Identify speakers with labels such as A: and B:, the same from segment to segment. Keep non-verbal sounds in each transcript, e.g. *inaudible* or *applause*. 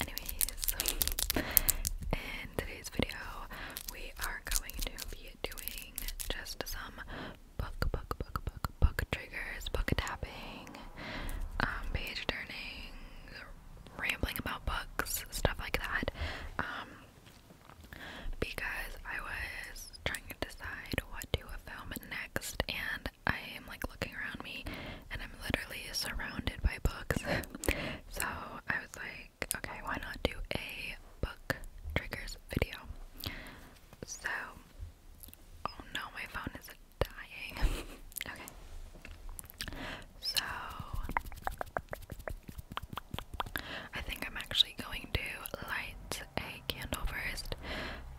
A: Anyways, in today's video, we are going to be doing just some book, book, book, book, book triggers, book tapping, um, page turning, rambling about books, stuff like that. Um, because I was trying to decide what to film next, and I am like looking around me and I'm literally surrounded by books. *laughs* so I was like, okay, why not do a book triggers video? So, oh no, my phone is dying. *laughs* okay. So, I think I'm actually going to light a candle first.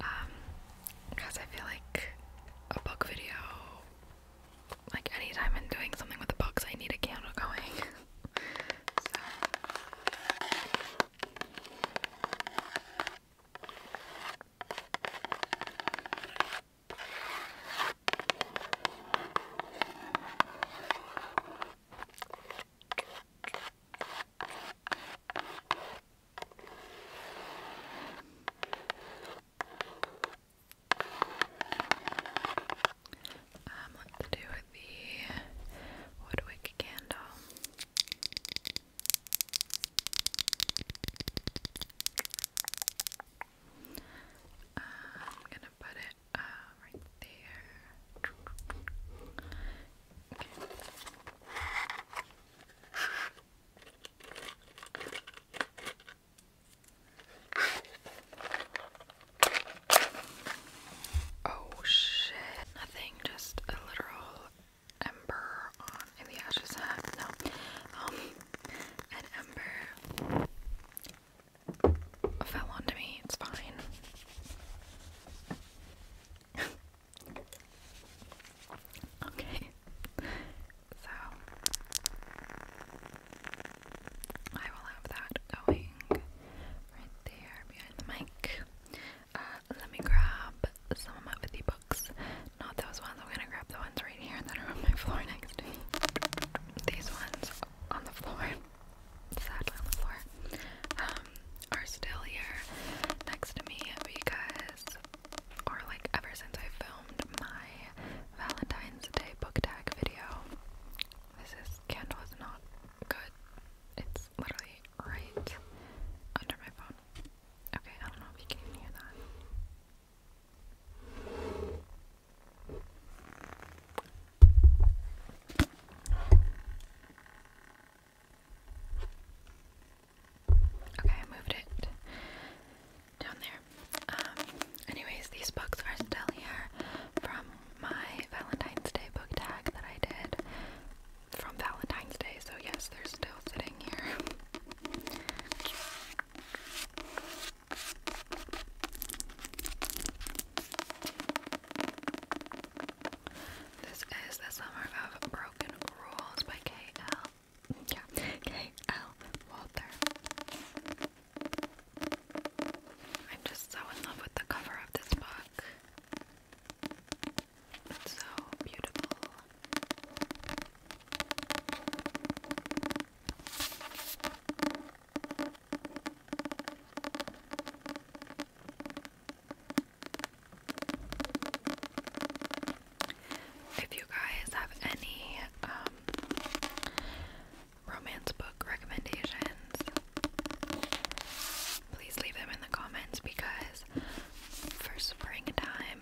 A: Um, because I feel like a book video, like anytime I'm doing something with the books, I need a candle going. *laughs* Um, let's do the Woodwick candle. I'm gonna put it uh, right there. Okay. Oh shit. Nothing, just a literal ember in the ashes. No. Um an ember fell onto me, it's fine. *laughs* Okay, so I will have that going right there behind the mic. Uh, let me grab some of my with books. Not those ones, I'm gonna grab the ones right here that are on my floor next to me. These ones on the floor. Sadly on the floor. Um, are still here next to me because, or like ever since I filmed my Valentine's Day book tag video, this is, candle is not good. It's literally right under my phone. Okay, I don't know if you can hear that. Okay, I moved it down there. Um, anyways, these books are still here from my Valentine's Day book tag that I did from Valentine's Day, so yes, they're still sitting here. This is The Summer of Broken Rules by K.L. Yeah, K.L. Walter. I'm just so in love with the cover of this book. It's so beautiful. If you guys have any um, romance book recommendations, please leave them in the comments because for springtime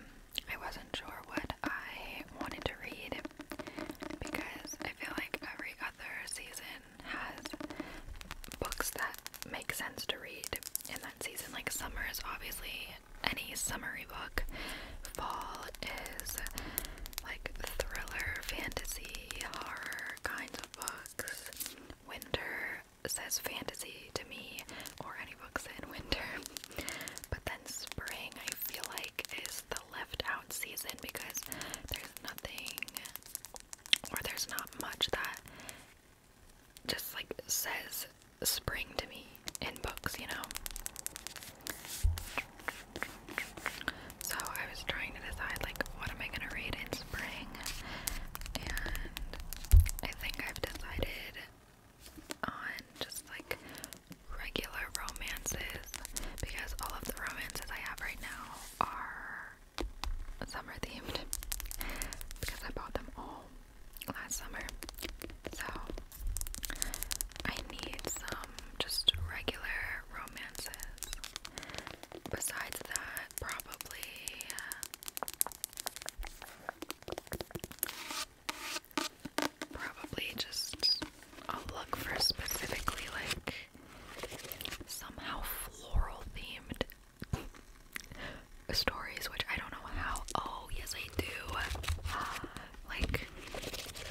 A: I wasn't sure what I wanted to read because I feel like every other season has books that make sense to read in that season. Like summer is obviously any summery book. Fall is like thriller, fantasy, horror kinds of books. Winter says fantasy to me or any books in winter. *laughs* But then spring I feel like is the left out season because there's nothing or there's not much that just like says spring to me in books, you know. So I was trying to decide like what am I gonna read in spring and I think I've decided on just like regular romances because all of the romances I have right now are summer themed because I bought them all last summer. So I need some just regular romances. Besides that, probably probably just I'll look for specifically like somehow floral themed stories, which I don't know how. Oh, yes, I do. *gasps* like,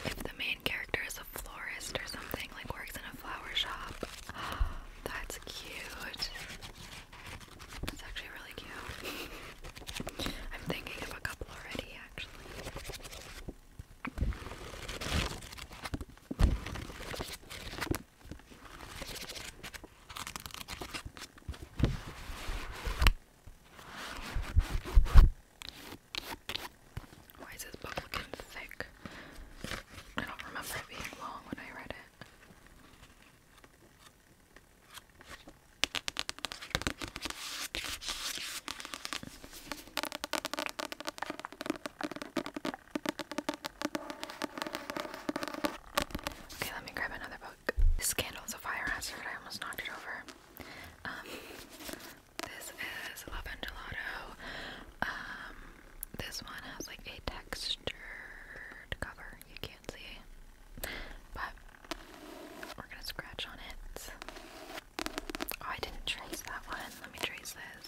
A: if the main character is a florist or something, like works in a flower shop. *gasps* that's cute. That's actually really cute. *laughs* I'm thinking of a couple already, actually. Why is this book looking thick? I don't remember it being long when I read it. Okay, let me grab another book. This candle is a fire hazard. I almost knocked it over. Um, this is Love and Gelato. Um, this one has like a textured cover. You can't see but we're gonna scratch on it. Oh, I didn't trace that one. Let me trace this.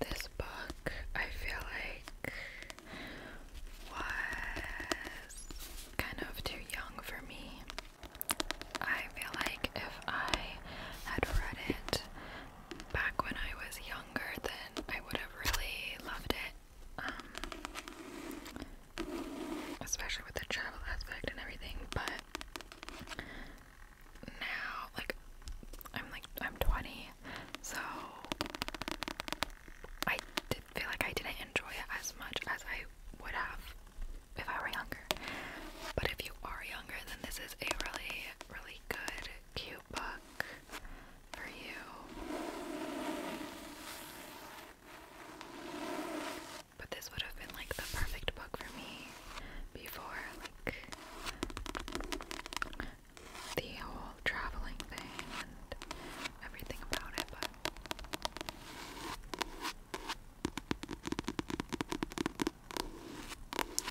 A: This book, I feel like, was kind of too young for me. I feel like if I had read it back when I was younger, then I would have really loved it. Um, especially with the travel aspect and everything, but now, like, I'm like, I'm 20, so I did feel like I didn't enjoy it as much as I would have if I were younger. But if you are younger, then this is a really, really good, cute book for you. But this would have been like the perfect book for me before, like the whole traveling thing and everything about it, but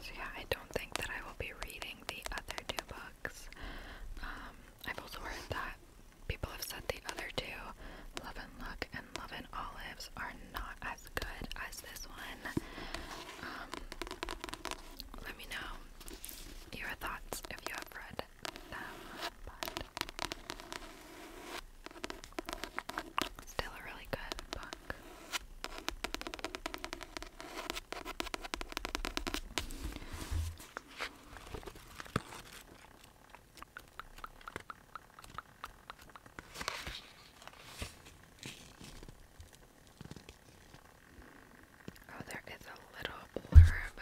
A: so yeah, I don't think that I will be reading the other two books. Um, I've also heard that people have said the other two, Love and Luck and Love and Olives, are not as good as this one. Um, let me know your thoughts if you have read them. But Still a really good book. Oh, there is a little blurb.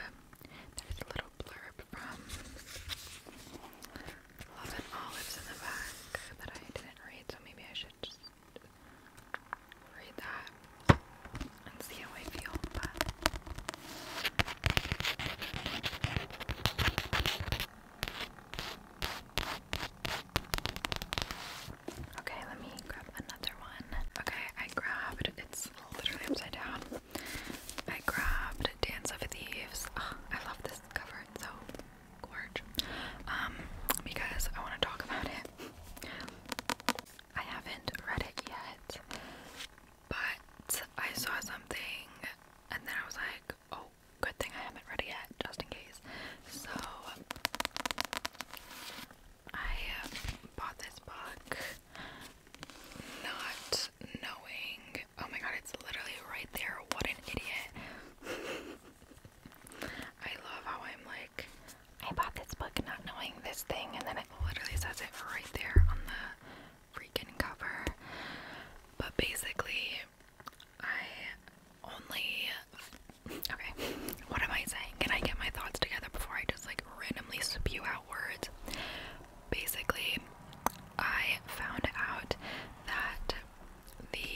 A: There's a little blurb from Lots of olives in the back that I didn't read, so maybe I should just read that and see how I feel. Okay, let me grab another one. Okay, I grabbed it's literally upside down. I grabbed Dance of Thieves. I love this cover, so gorge. Um, because I want to talk about it. I haven't read it yet, but I saw something and then I was like, oh, good thing I haven't read it yet, just in case. So I bought this book not knowing oh my god, it's literally right there. What an idiot. *laughs* I love how I'm like, I bought this book not knowing this thing, and then it literally says it right there on the freaking cover. But basically, I only. Okay, what am I saying? Can I get my thoughts together before I just like randomly spew out words? basically, I found out that the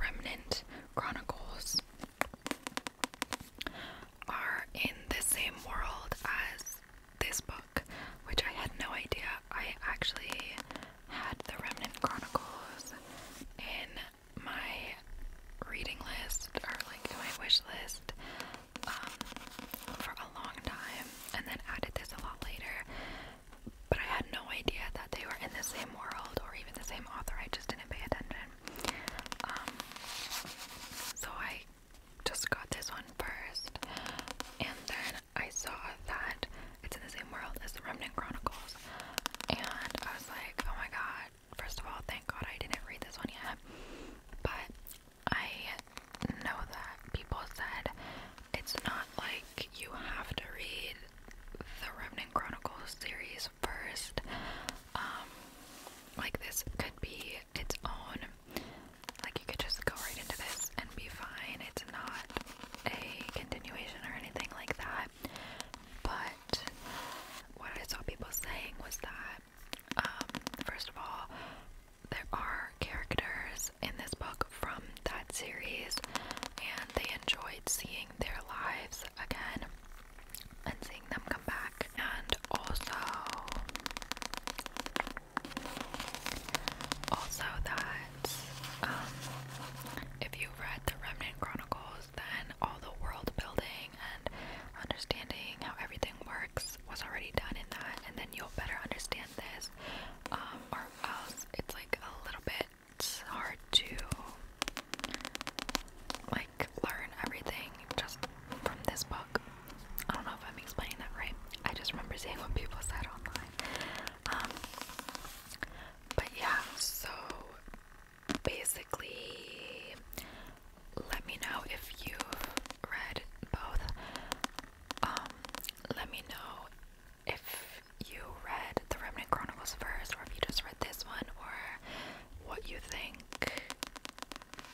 A: Remnant Chronicles are in the same world as this book, which I had no idea. I actually had the Remnant Chronicles in my reading list or like in my wish list um, a long time and then added this a lot later. But I had no idea that they were in the same world or even the same author. I just didn't pay attention. Um, so I just got this one first, and then I saw that it's in the same world as the Remnant Chronicles, and I was like, oh my god! First of all, thank God I didn't read this one yet. But I know that people said it's not like you have to read the Remnant Chronicles series first. Um, like this could be its own. Like you could just go right into this and be fine. It's not a continuation or anything like that. But what I saw people saying was that, um, first of all, there are characters in this book from that series, and they enjoyed seeing their lives again and seeing them come back. And also, also that um, if you've read the Remnant Chronicles, then all the world building and understanding how everything works was already done in that, and then you'll better understand this, um, or else it's like a little bit hard to like learn everything just from this book. I don't know if I'm explaining that right. I just remember seeing what people said online. Um, but yeah, so basically, let me know if you've read both um, let me know if you read the Remnant Chronicles first, or if you just read this one, or what you think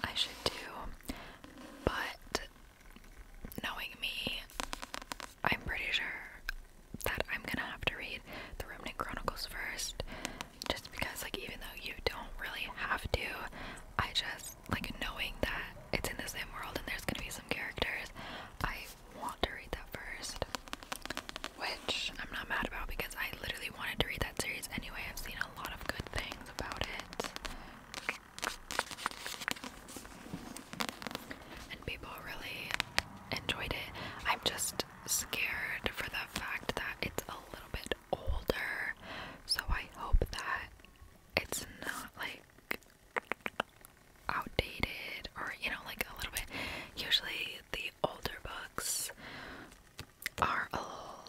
A: I should do. But knowing me, I'm pretty sure that I'm gonna have to read the Remnant Chronicles first, just because, like, even though you don't really have to, I just like knowing that it's in the same world and there's gonna be some characters, I want to read that first. Which I'm not mad about because I literally wanted to read that series anyway. I've seen a lot of good things about it. And people really enjoyed it. I'm just scared for the fact that it's a little bit older. So I hope that it's not like outdated or you know like a little bit usually the older books are a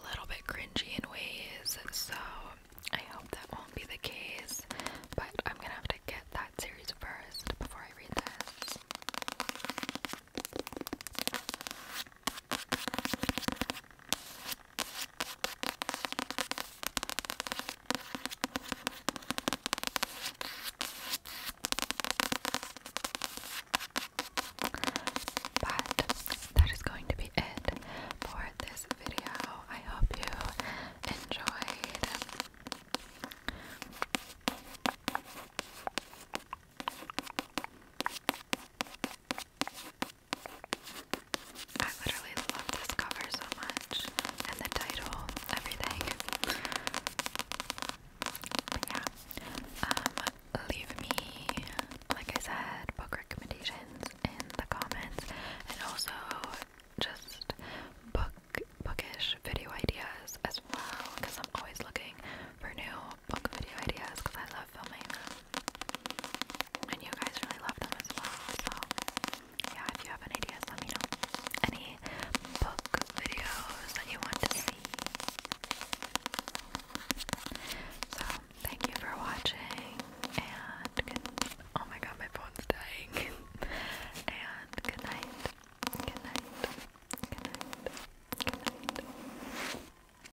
A: little bit cringy in ways so I hope that won't be the case but I'm gonna have to get that series first before I read this but that is going to be it for this video. I hope you enjoyed. I literally love this cover so much, and the title, everything. yeah, um, leave me, like I said, book recommendations in the comments, and also just book bookish video ideas as well, because I'm always looking for new book video ideas because I love filming And you guys really love them as well. So, yeah, if you have any ideas, let me know. Any book videos that you want to see. So, thank you for watching. And good, oh my god, my phone's dying. *laughs* and good night. Good night. Good night. Good night.